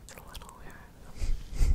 It's a little weird. Okay.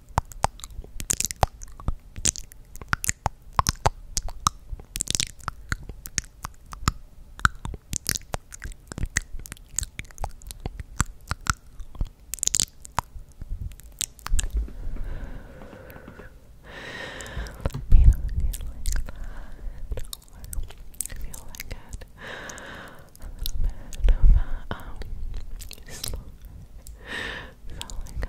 Let me know if you like that or if you like it a little bit of a um slow so look at this.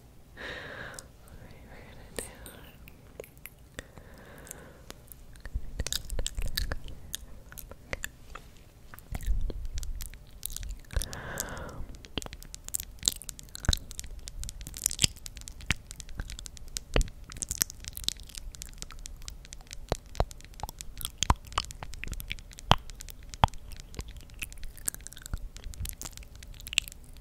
Alright, we're gonna do. Okay.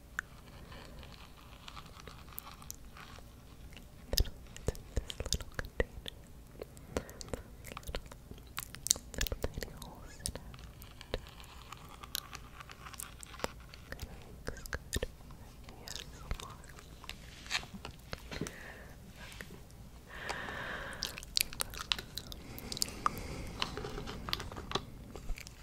Then I'll in this little container. Little, little tiny holes in it. Kind of looks good. Yeah, some more. Okay.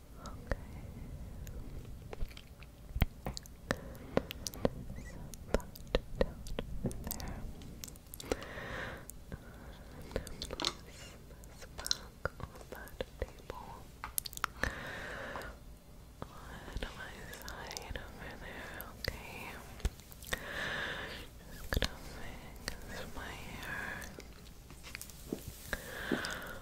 Okay. So that down there. this back that table. On my side over there, okay. Just gonna make my hair.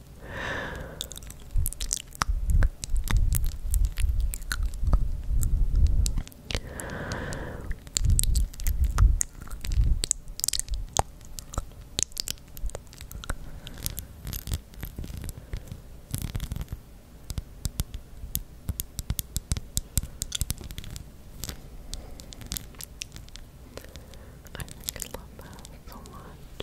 I freaking love that so much.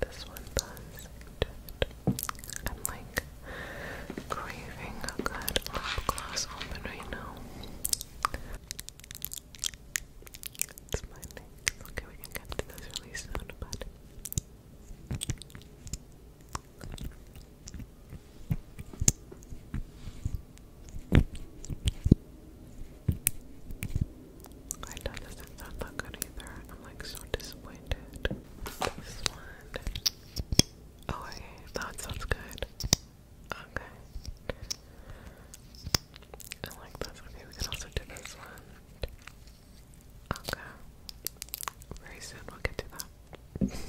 This one does. I'm like craving a good lip gloss open right now. Okay, we can get to this really soon, but. I don't that good either. I'm like so disappointed. Oh, That sounds good. Okay. like this. Okay, we can also do this one. Okay. Very soon we'll get to that.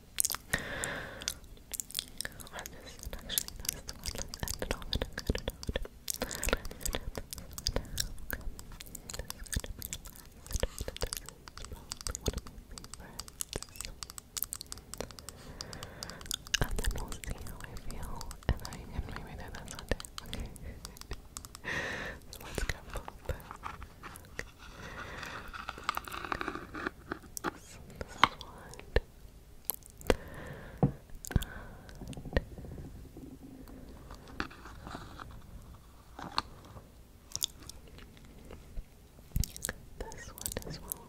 Or this and actually that's the one let's end it off in a good note. Let's end it off in a good note. This is gonna be the last note. This is probably one of my favorites. And then we'll see how I feel and I can maybe do this one day. Okay. so let's go. But, okay. This, this one. And this one as well.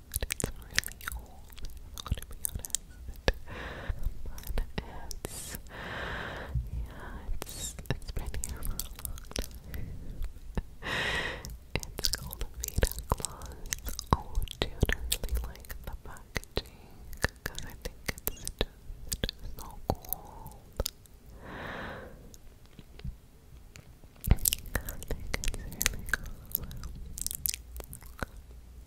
but it's really old, I'm gonna be honest. But it's, yeah, it's been here for a long time. It's called Vita Gloss. Oh dude, I like the packaging, because I think it's just, so cool. I think it's really cool.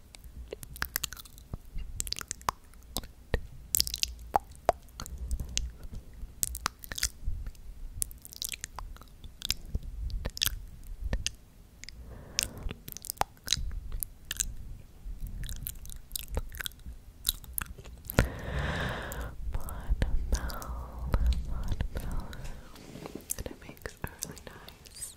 Mud Mel, Mud Mel, and it makes a really nice nice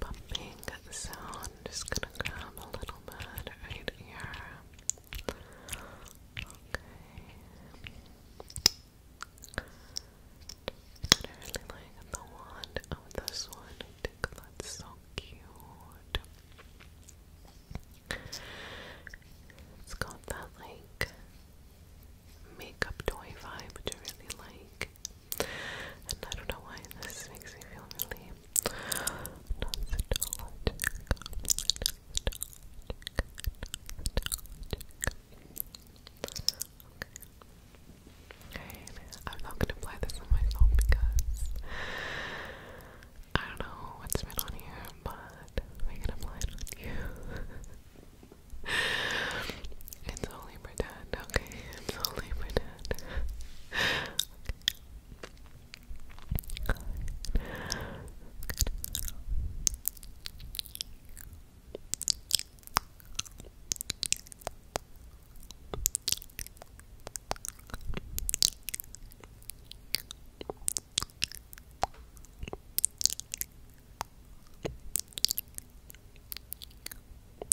pumping sound. Just gonna grab a little bit right here. Okay. I really like the wand of this one. think that's so cute. It's got that like makeup toy vibe, I really like. And I don't know why this makes me feel really I'm not gonna apply this on myself because I don't know what's been on here, but we can apply it on you. only pretend, okay? It's only pretend. okay. Good. Okay.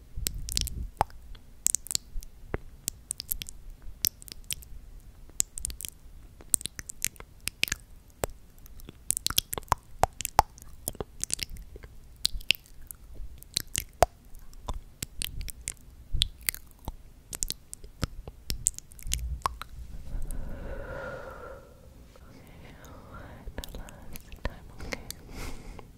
Okay, one last time, okay.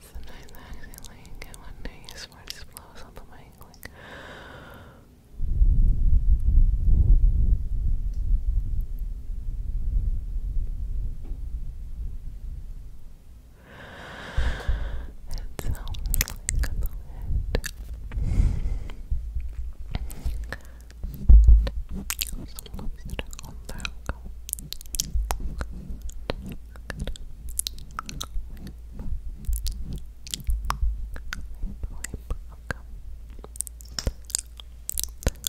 Sometimes I actually like it when I use more just blows up on my like I it sounds like a bullet. Wipe, wipe, okay. Wipe, wipe,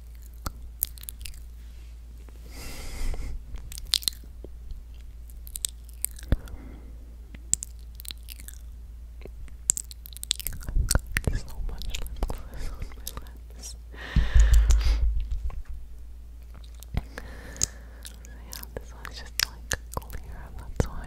I've got so much lip gloss on my lips. So yeah, this one's just like clear and that's why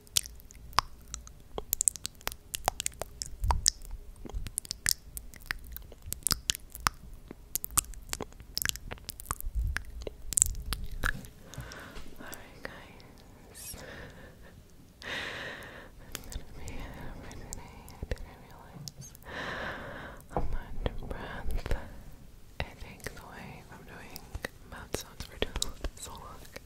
Alright, guys. i didn't realize how much breath it takes away from doing mouth sounds for so long.